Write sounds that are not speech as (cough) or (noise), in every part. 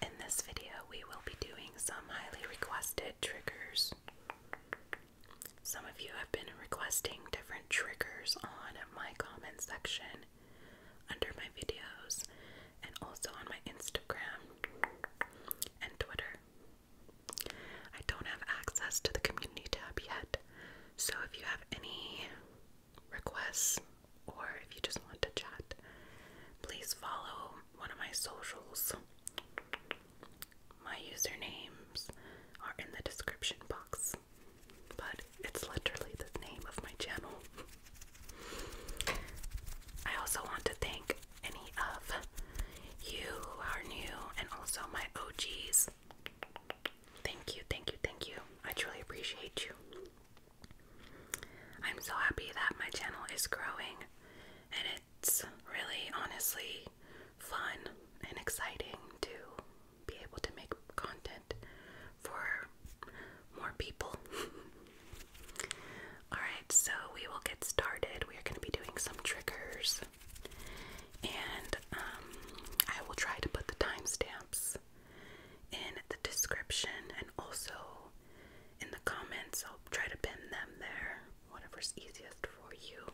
In this video, we will be doing some highly requested triggers. Some of you have been requesting different triggers on my comment section under my videos and also on my Instagram and Twitter. I don't have access to the community tab yet, so if you have any requests, or if you just want to chat, please follow one of my socials. My usernames are in the description box, but it's literally the name of my channel. I also want to thank any of you who are new and also my OGs. Thank you, thank you, thank you. I truly appreciate you. I'm so happy that my channel is growing and it's really honestly fun and exciting to be able to make content for more people. (laughs) Alright, so we will get started. We are going to be doing some triggers and um, I will try to put the timestamps in the description and also in the comments. I'll try to pin them there, whatever's easiest for you.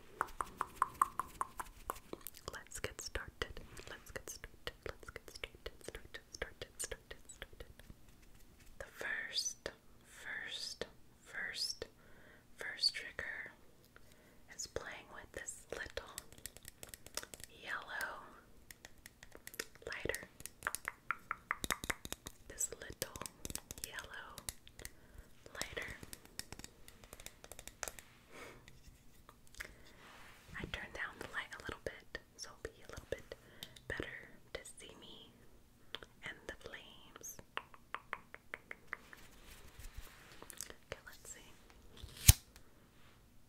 Let's get started. Let's get started. Let's get started. Started, started, started, started. The first, first, first, first trigger is playing with this little yellow lighter. This little yellow lighter. I turned down the light a little bit so it'll be a little bit better to see me and the flames. Okay, let's see.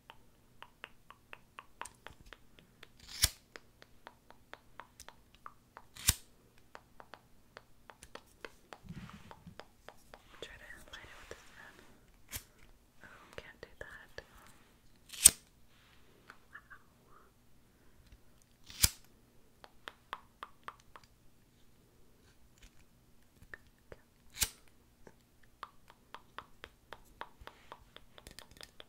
Try to light it with this hand. Oh, can't do that. Wow. Okay.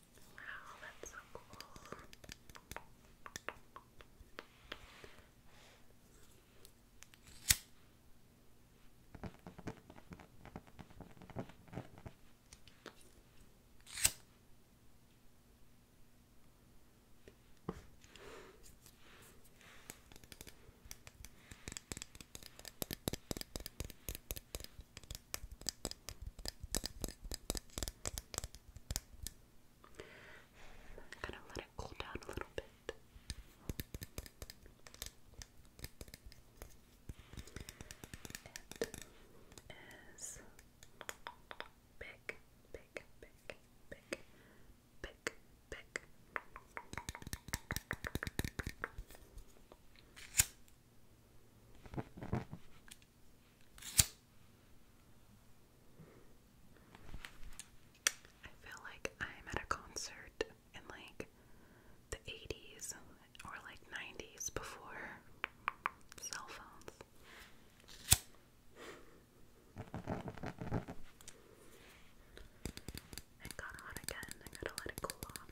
Wow, that's so cool. Gonna let it cool down a little bit. It is big, big, big, big, big, big. I feel like I'm at a concert in like the 80s or like 90s before cell phones. It got hot again. I gotta let it cool off.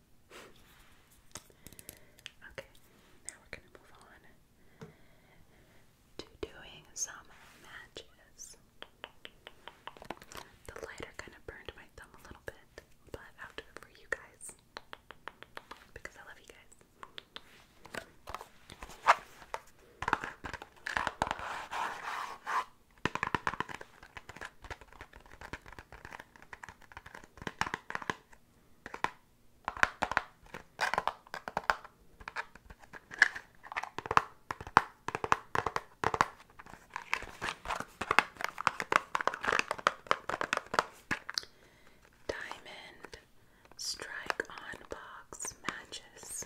okay, now we're going to move on to doing some matches. The lighter kind of burned my thumb a little bit, but I'll do it for you guys because I love you guys. Diamond strike on box matches.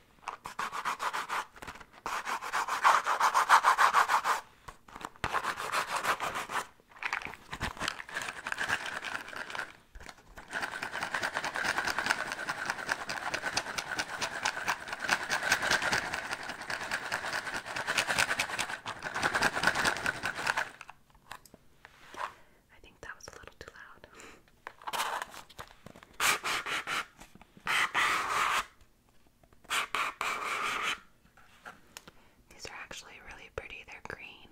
I think that was a little too loud. (laughs) These are actually really pretty, they're green.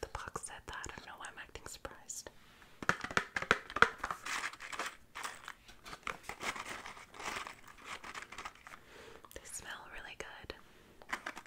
The box said that. I don't know why I'm acting surprised. They smell really good.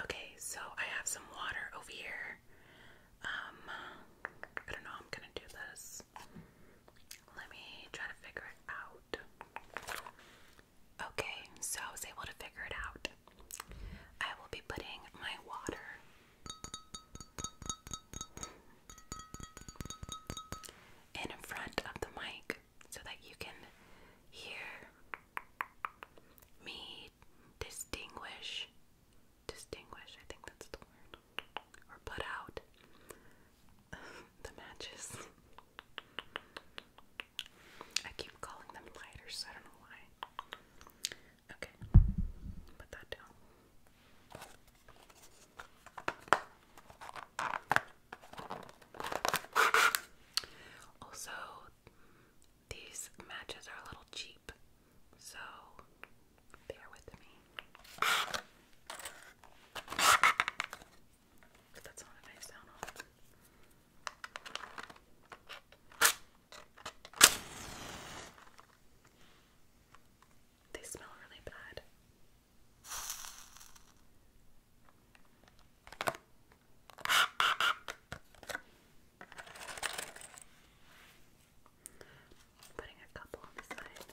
Okay, so I have some water over here. Um, I don't know I'm gonna do this. Let me try to figure it out. Okay, so I was able to figure it out. I will be putting my water in front of the mic so that you can hear me distinguish. Distinguish, I think that's the word. Or put out (laughs) the matches. I keep calling them lighters, I don't know why. Okay, put that down. Also, these matches are a little cheap, so bear with me. That's not a nice sound They smell really bad. I'm putting a couple on the side.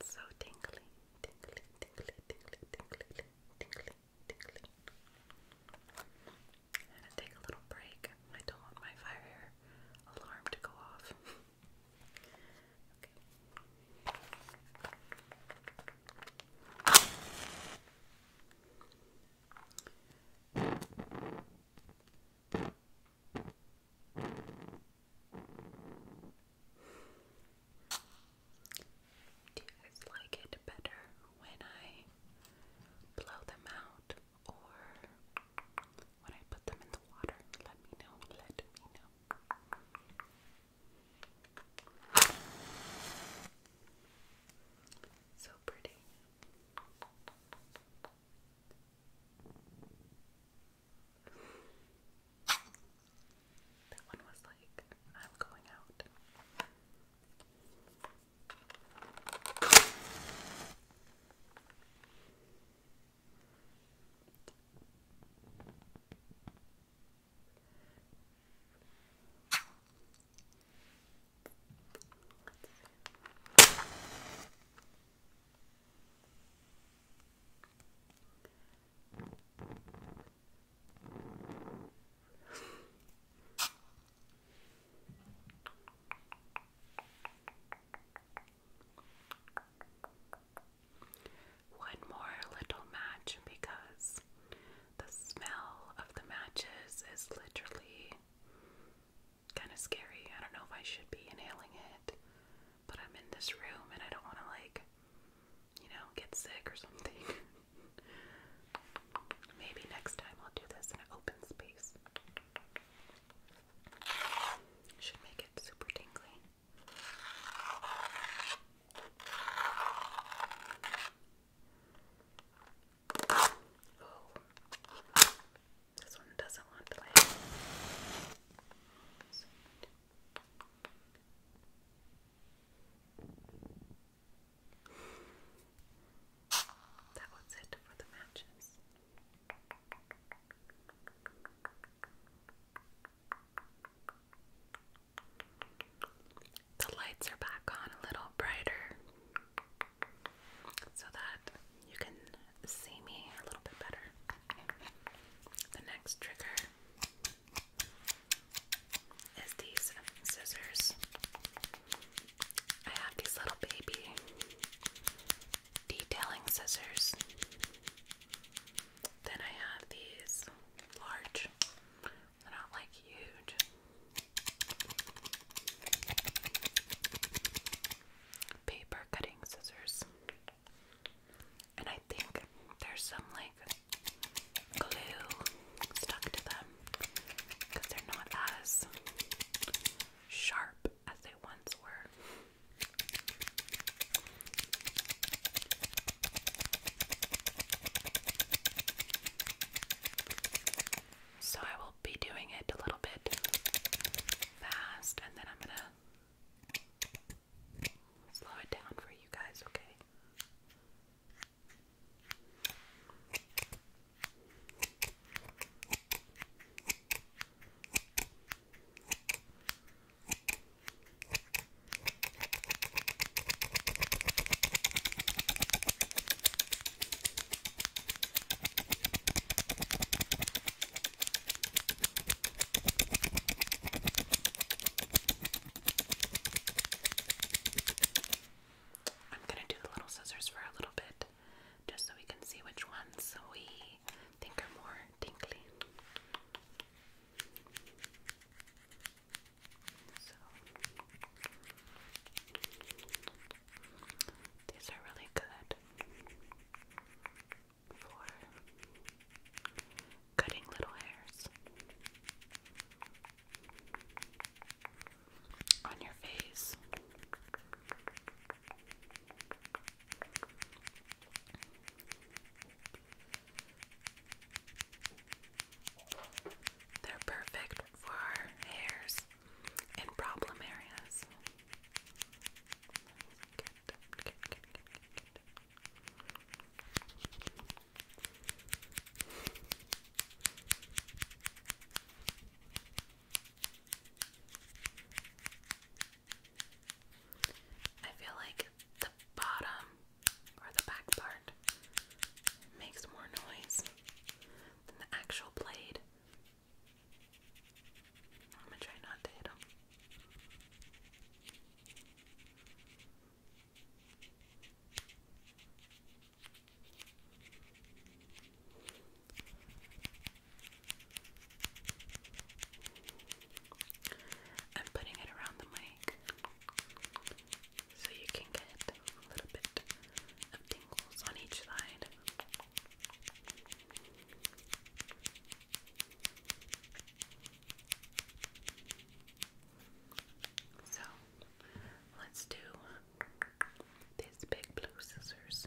It's so tingly, tingly, tingly, tingly, tingly, tingly, tingly. gonna take a little break. I don't want my fire alarm to go off. (laughs) okay. Do you guys like it better when I blow them out or when I put them in the water? Let me know. Let me know. So pretty. That one was like, I'm going out. Let's One more little match because the smell of the matches is literally kind of scary. I don't know if I should be inhaling it, but I'm in this room and I don't want to, like, you know, get sick or something. (laughs) Maybe next time I'll do this in an open space. Should make it super tingly. Oh. This one doesn't want to That was it for the matches. The lights are back on a little brighter so that you can see me a little bit better. The next trigger is these scissors. I have these little baby detailing scissors. Then I have these large, they're not like huge. Paper cutting scissors. And I think there's some like glue stuck to them because they're not as sharp as they once were. So I will be doing it a little bit fast and then I'm going to slow it down for you guys, okay? I'm going to do the little scissors for a little bit just so we can see which ones we think are more tinkly. These are really good for cutting little hairs on your face. They're perfect for hairs in problem areas. Good, good, good, good, good. I feel like the bottom or the back part makes more noise than the actual blade. I'm gonna try not to I'm putting it around the mic so you can get a little bit of tingles on each side. So let's do these big blue scissors.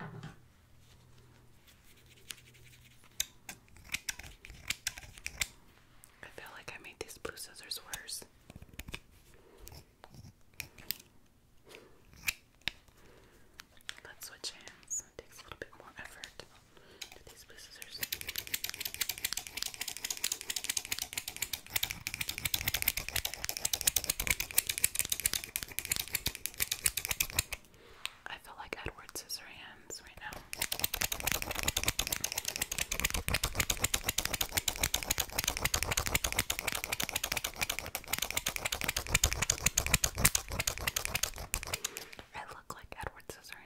I feel like I made these blue scissors worse. Let's switch hands. It takes a little bit more effort to these blue scissors. I feel like Edward Scissorhands right now. I look like Edward Scissorhands.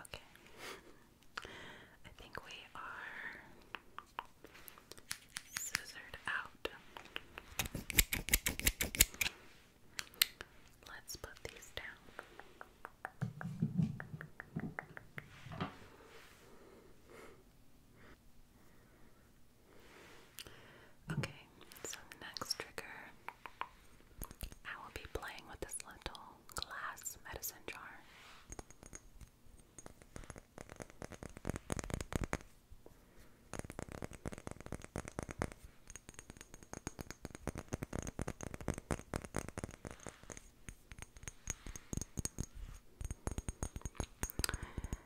Okay. I think we are scissored out. Let's put these down. Okay, so next trigger, I will be playing with this little glass medicine jar.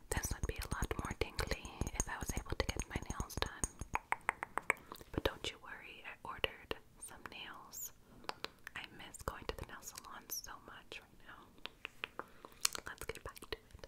This would be a lot more tingly if I was able to get my nails done. But don't you worry, I ordered some nails. I miss going to the nail salon so much right now. Let's get back to it.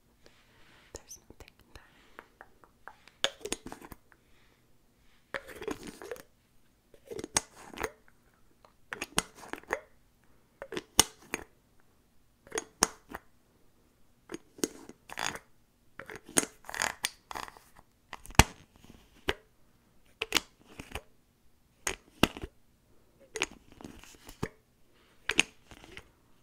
There's nothing in there.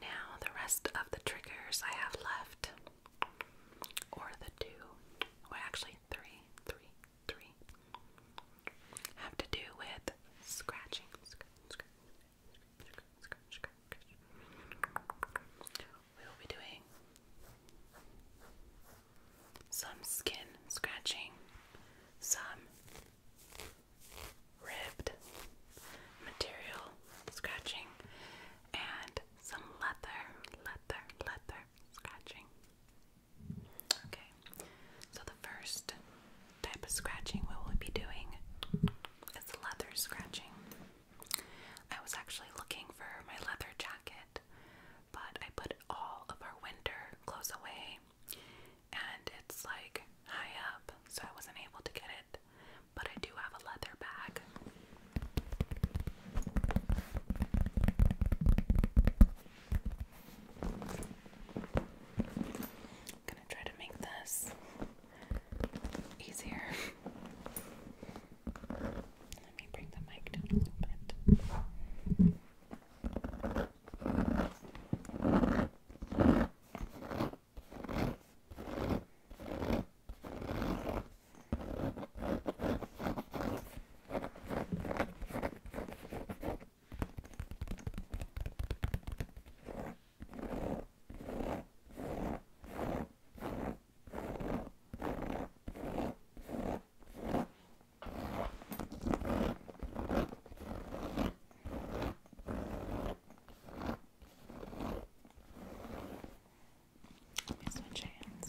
Now, the rest of the triggers I have left, or the two, well, actually, three, three, three, have to do with scratching, we will be doing some skin scratching, some ribbed material scratching, and some leather, leather, leather scratching. Okay, so the first type of scratching we will be doing is leather scratching. I was actually looking for my leather jacket, but I put all of our winter clothes away and it's like high up, so I wasn't able to get it. But I do have a leather bag. I'm gonna try to make this easier. (laughs) Let me bring the mic down a little bit. Let me switch hands.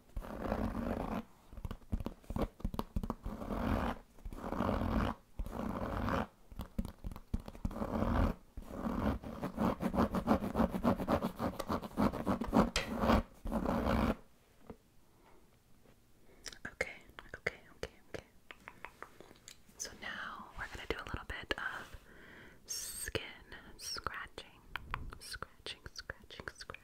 Okay, okay, okay, okay. So now we're going to do a little bit of skin scratching, scratching, scratching, scratching.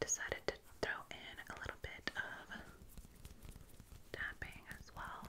Decided to throw in a little bit of tapping as well.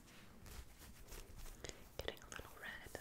Getting a little red.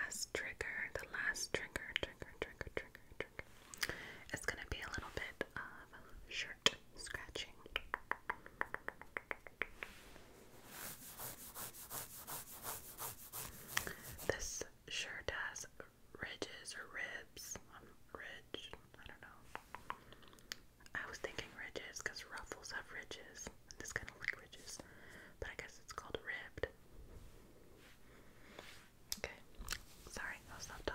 The last trigger, the last trigger, trigger, trigger, trigger, trigger. It's gonna be a little bit of show scratching. This shirt has ridges or ribs. Um, ridge, I don't know. I was thinking ridges because ruffles have ridges. This kind of like ridges, but I guess it's called ribbed. Okay. Sorry, I'll stop talking.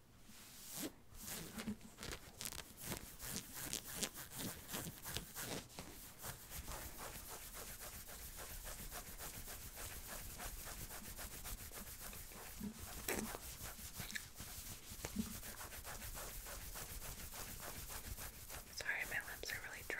Sorry, my lips are really dry.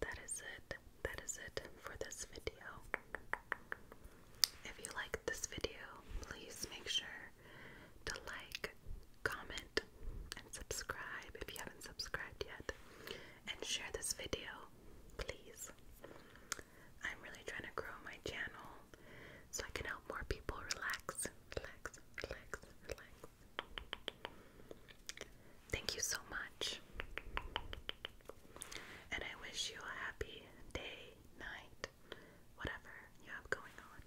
that is it. That is it for this video. If you liked this video, please make sure to like, comment, and subscribe if you haven't subscribed yet. And share this video, please. I'm really trying to grow my channel so I can help more people relax. Thank you so much. And I wish you a happy day, night, whatever you have going on.